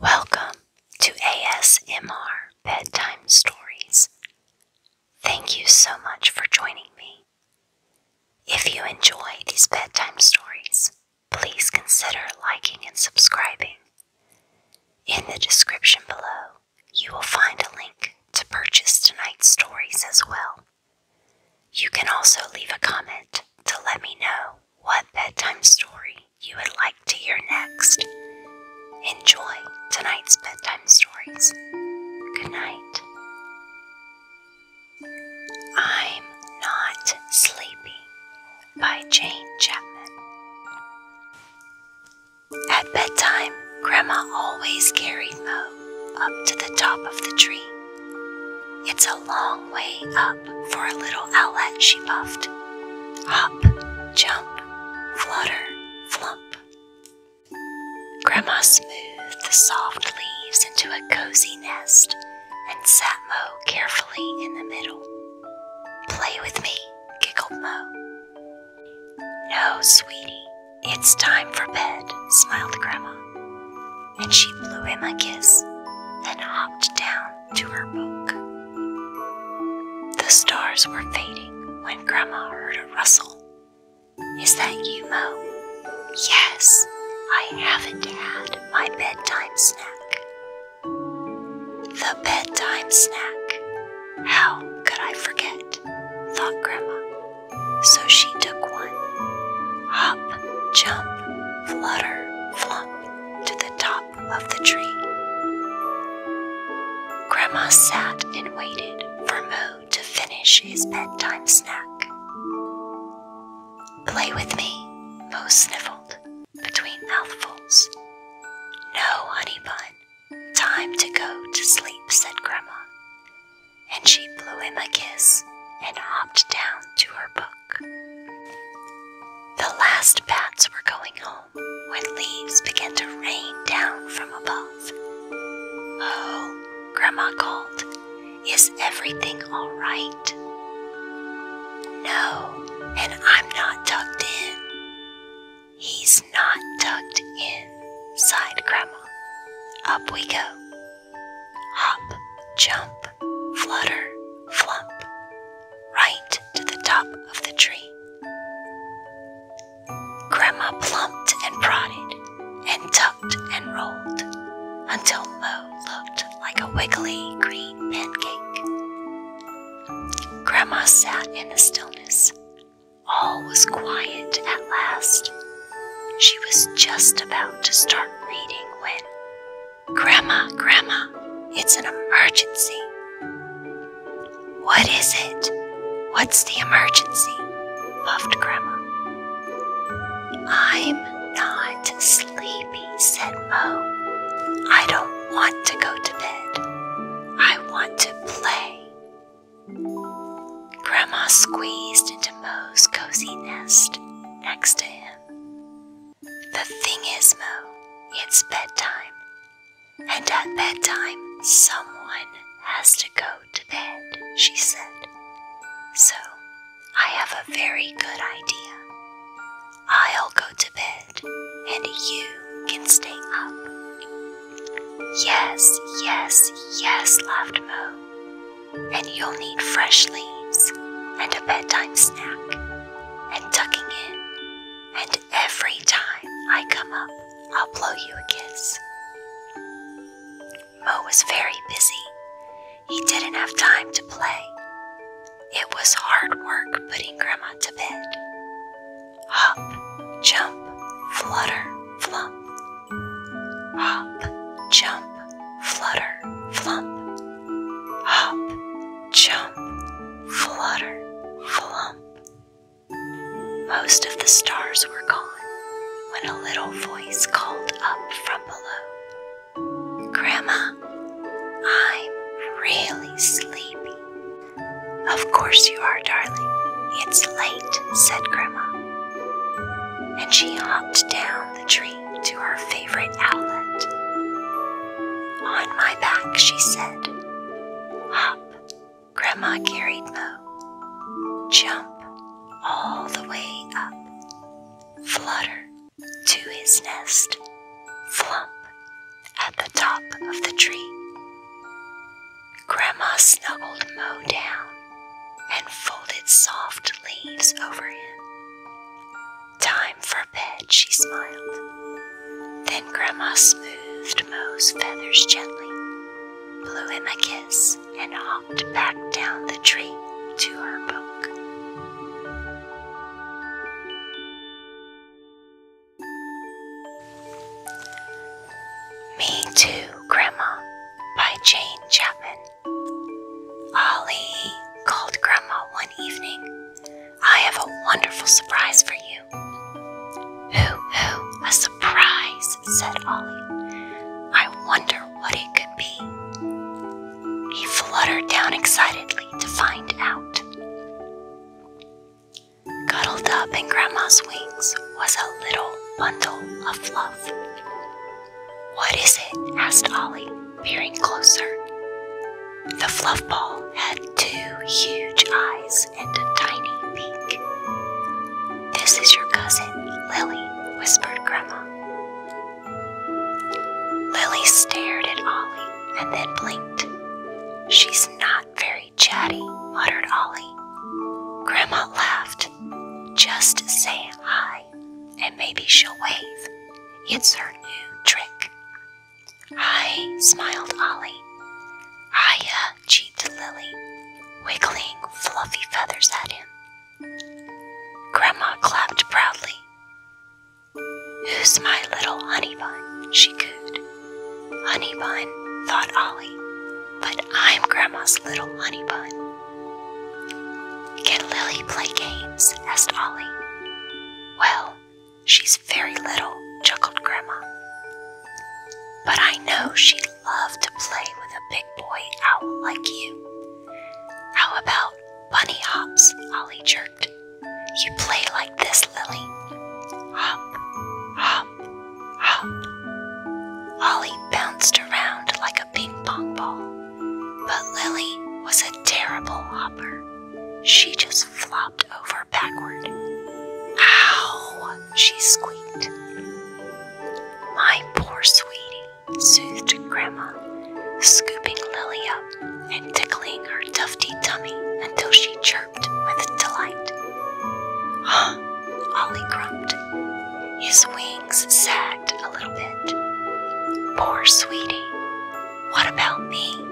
Welcome to ASMR Bedtime Stories. Thank you so much for joining me. If you enjoy these bedtime stories, please consider liking and subscribing. In the description below, you will find a link to purchase tonight's stories as well. You can also leave a comment to let me know what bedtime story you would like to hear next. Enjoy tonight's bedtime stories. Good night. I'm Not Sleepy by Jane Chapman. At bedtime, Grandma always carried Mo up to the top of the tree. It's a long way up for a little outlet, she puffed. Hop, jump, flutter, flump. Grandma smoothed the soft leaves into a cozy nest and sat Mo carefully in the middle. Play with me, giggled Mo. No, sweetie, it's time for bed, smiled Grandma. And she blew him a kiss, then hopped down to her book. The stars were fading when Grandma heard a rustle. Is that you, Mo? Yes, I haven't had my bedtime snack. The bedtime snack. How could I forget? thought Grandma. So she took one. Hop, jump, flutter, flump to the top of the tree. Grandma sat and waited for Mo to finish his bedtime snack. Play with me, Mo sniffled between mouthfuls. No, honey bun. Time to go to sleep, said Grandma. And she blew him a kiss and hopped down to her book. The last bats were going home when leaves began to rain down from above. Oh, Grandma called, is everything all right? No, and I'm not tucked in. He's not tucked in, sighed Grandma. Up we go. Hop, jump, flutter, flump, right to the top of the tree. Grandma plumped and prodded, and tucked and rolled, until Mo looked like a wiggly green pancake. Grandma sat in the stillness. All was quiet at last. She was just about to start reading when Grandma, Grandma, it's an emergency. What is it? What's the emergency? puffed Grandma. I'm not sleepy, said Mo. I don't want to go to bed. I want to play. Grandma squeezed into Mo's cozy nest next to him. The thing is, Mo, it's bedtime. And at bedtime, someone has to go to bed, she said. So, I have a very good idea. I'll go to bed, and you can stay up. Yes, yes, yes, laughed Mo. And you'll need fresh leaves and a bedtime snack and tucking in, and every time I come up, I'll blow you a kiss. Mo was very busy. He didn't have time to play. It was hard work putting Grandma to bed. Hop, jump, flutter, flump. Hop, jump, flutter, flump hop, jump, flutter, flump. Most of the stars were gone when a little voice called up from below Grandma, I'm really sleepy. Of course you are, darling. It's late, said Grandma. And she hopped down the tree to her favorite outlet. On my back, she said, Hop, Grandma carried Mo. Jump all the way up. Flutter to his nest. Flump at the top of the tree. Grandma snuggled Mo down and folded soft leaves over him. Time for bed, she smiled. Then Grandma smoothed Mo's feathers gently, blew him a kiss, and hopped back down the tree to her book. Me Too, Grandma by Jane Chapman. Ollie, called Grandma one evening, I have a wonderful surprise for you. Who, who, a surprise, said Ollie. I wonder what it could be. He fluttered down excitedly to find out. Cuddled up in Grandma's wings was a little bundle of fluff. What is it? asked Ollie, peering closer. The fluff ball had two huge eyes and a tiny beak. This is your cousin, Lily, whispered Grandma. Lily stared at Ollie and then blinked. She's not very chatty, muttered Ollie. Grandma laughed. Just say hi, and maybe she'll wave. It's her new trick. Hi, smiled Ollie. Hiya, cheeped Lily, wiggling fluffy feathers at him. Grandma clapped proudly. Who's my little honey bun? she cooed. Honey bun, thought Ollie, but I'm Grandma's little honey bun. Can Lily play games? asked Ollie. Well, she's very little, chuckled Grandma. But I know she'd love to play with a big boy owl like you. How about bunny hops? Ollie jerked. You play like this, Lily. Hop, hop, hop. Ollie bounced around like a ping pong ball. But Lily was a terrible hopper. She just flopped over backward. Ow! she squeaked. My poor sweetie, soothed Grandma, scooping Lily up and tickling her tufty tummy until she chirped with delight. Huh, Ollie grumped, his wings sad a little bit. Poor sweetie, what about me?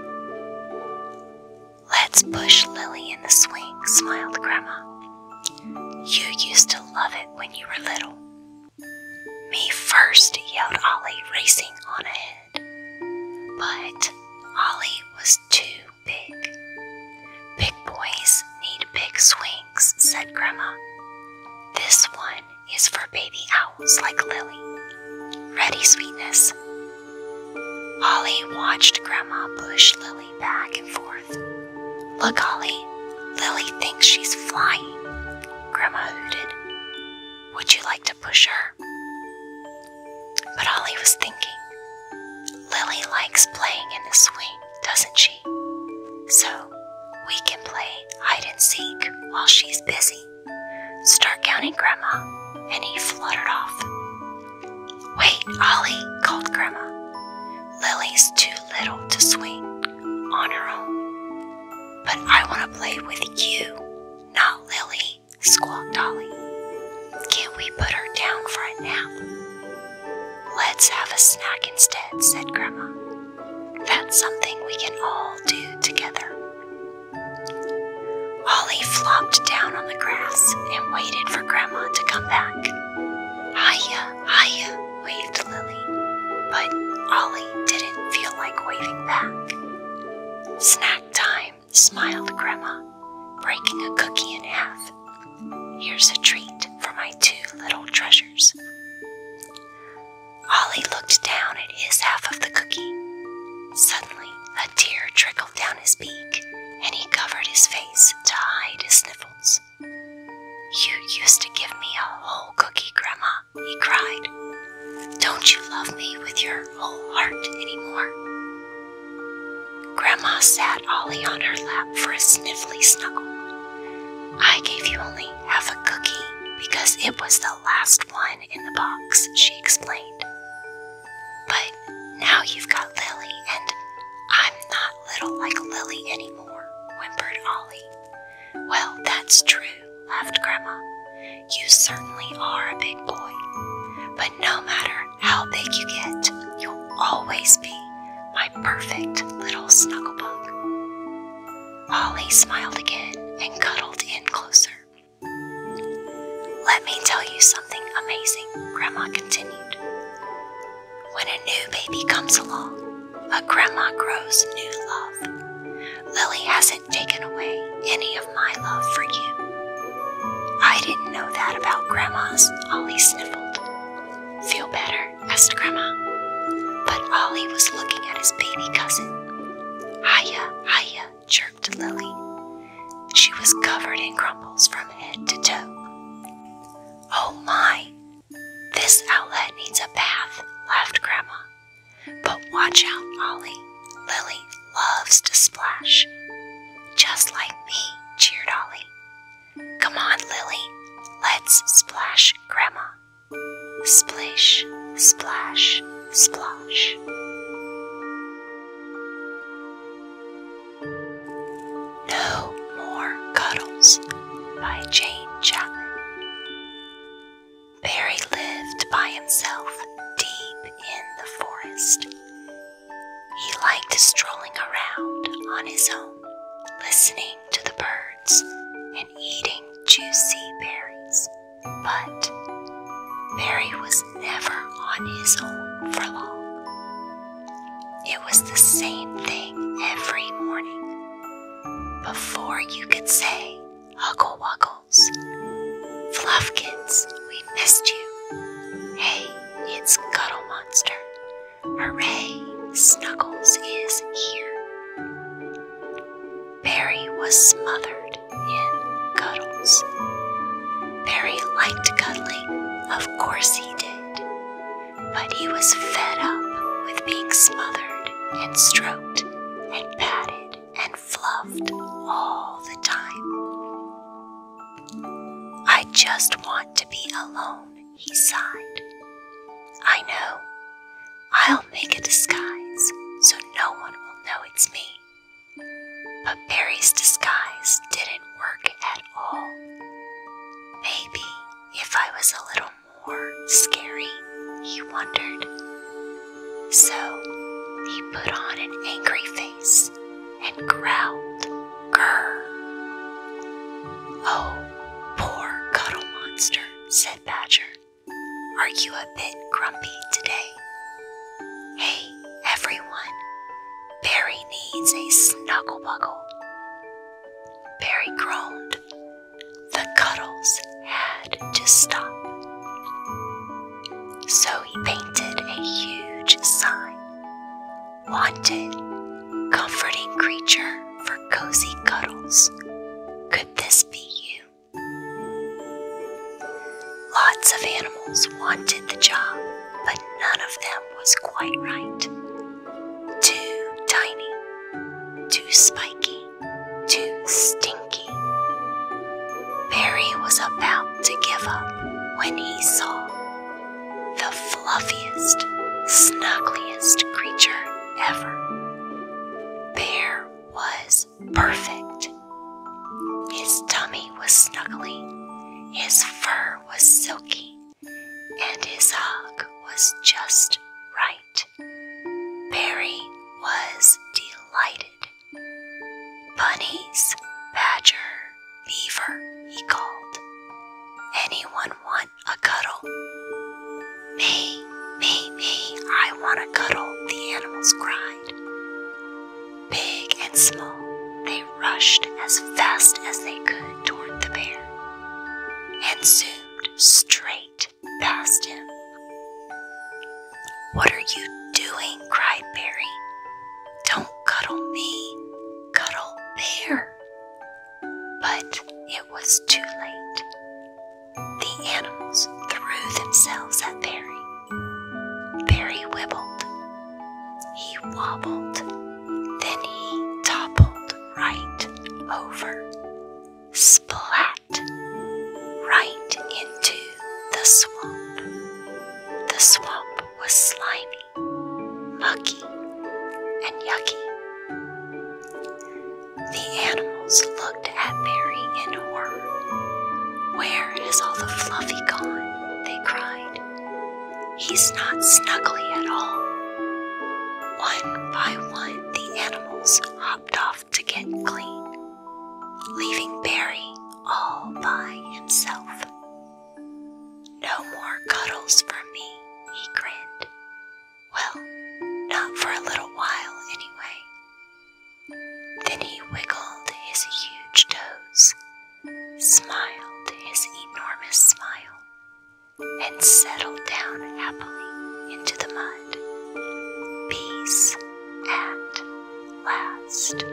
Let's push Lily in the swing, smiled Grandma. You used to love it when you were little. Me first, yelled Ollie, racing on ahead. But Ollie was too big. Big boys need big swings, said Grandma. This one is for baby owls like Lily. Ready, sweetness. Ollie watched Grandma push Lily back and forth. Look, Ollie, Lily thinks she's flying, Grandma hooted. Would you like to push her? But Ollie was thinking, Lily likes playing in the swing, doesn't she? So we can play hide and seek while she's busy. Start counting, Grandma. And he fluttered off. Wait, Ollie, called Grandma. Lily's too little to swing on her own. But I want to play with you, not Lily, squawked Ollie. Can't we put her down for a nap? Let's have a snack instead, said Grandma. That's something we can all do together. Ollie flopped down on the grass and waited for Grandma to come back. Hiya, hiya, waved Lily, but Ollie didn't feel like waving back. Snack time, smiled Grandma, breaking a cookie in half. Here's a treat for my two little treasures. Ollie looked down at his half of the cookie. Suddenly, a tear trickled down his beak, and he covered his face to hide his sniffles. You used to give me a whole cookie, Grandma, he cried. Don't you love me with your whole heart anymore? Grandma sat Ollie on her lap for a sniffly snuggle. I gave you only have a cookie because it was the last one in the box, she explained. But now you've got Lily, and I'm not little like Lily anymore, whimpered Ollie. Well, that's true, laughed Grandma. You certainly are a big boy. But no matter how big you get, you'll always be my perfect little snugglebug." Molly smiled again and cuddled in closer. Let me tell you something amazing, Grandma continued. When a new baby comes along, a grandma grows new love. Lily hasn't taken away any of my love for you. I didn't know that about grandmas, Ollie sniffled. Feel better? asked Grandma. But Ollie was looking at his baby cousin. Hiya, hiya, chirped Lily. She was covered in crumples from head to toe. Oh my, this outlet needs a bath, laughed Grandma. But watch out, Ollie. Lily loves to splash. Just like me, cheered Ollie. Come on, Lily. Let's splash, Grandma. Splish, splash, splosh. No More Cuddles by Jane Chapman. Barry lived by himself deep in the forest. He liked strolling around on his own, listening to the birds and eating juicy berries. But Mary was never on his own for long. It was the same thing every morning. Before you could say, Huggle Wuggles, Fluffkins, we missed you. Hey, it's Cuddle Monster. Hooray, Snuggles is here. Barry was smothered in cuddles. Barry liked cuddling, of course he did, but he was fed up with being smothered and stroked and patted and fluffed all the time. I just want to be alone, he sighed. I know. I'll make a disguise so no one will know it's me. But Barry's disguise didn't work at all. Maybe if I was a little more scary, he wondered. So he put on an angry face and growled, Grr. Oh, poor cuddle monster said Badger, are you a bit grumpy today? Hey, everyone, Barry needs a snuggle Barry groaned. The cuddles had to stop. So he painted a huge sign Wanted, comforting creature cozy cuddles. Could this be you? Lots of animals wanted the job, but none of them was quite right. Too tiny, too spiky, too stinky. Barry was about to give up when he saw the fluffiest, snuggliest creature ever. Bear was perfect. His tummy was snuggly, his fur was silky, and his hug was just right. Barry was delighted. Bunnies, badger, beaver, he called. Anyone want a cuddle. Me, me, me, I want a cuddle, the animals cried. Big and small, they rushed as fast as they could toward the bear and zoomed straight past him. What are you doing? cried Barry. Don't cuddle me, cuddle Bear. But it was too late. The animals threw themselves at Barry. Barry wobbled. He wobbled. Then he toppled right over. Splat! Right into the swamp. The swamp was slimy, mucky, and yucky. The animals looked at Barry in horror. Where has all the fluffy gone? They cried. He's not snuggly at all. One by one, the animals hopped off to get clean, leaving Barry all by himself. No more cuddles for me, he grinned. Well, not for a little while, anyway. Then he wiggled his huge toes, smiled his enormous smile, and settled down happily into the mud. Peace at last.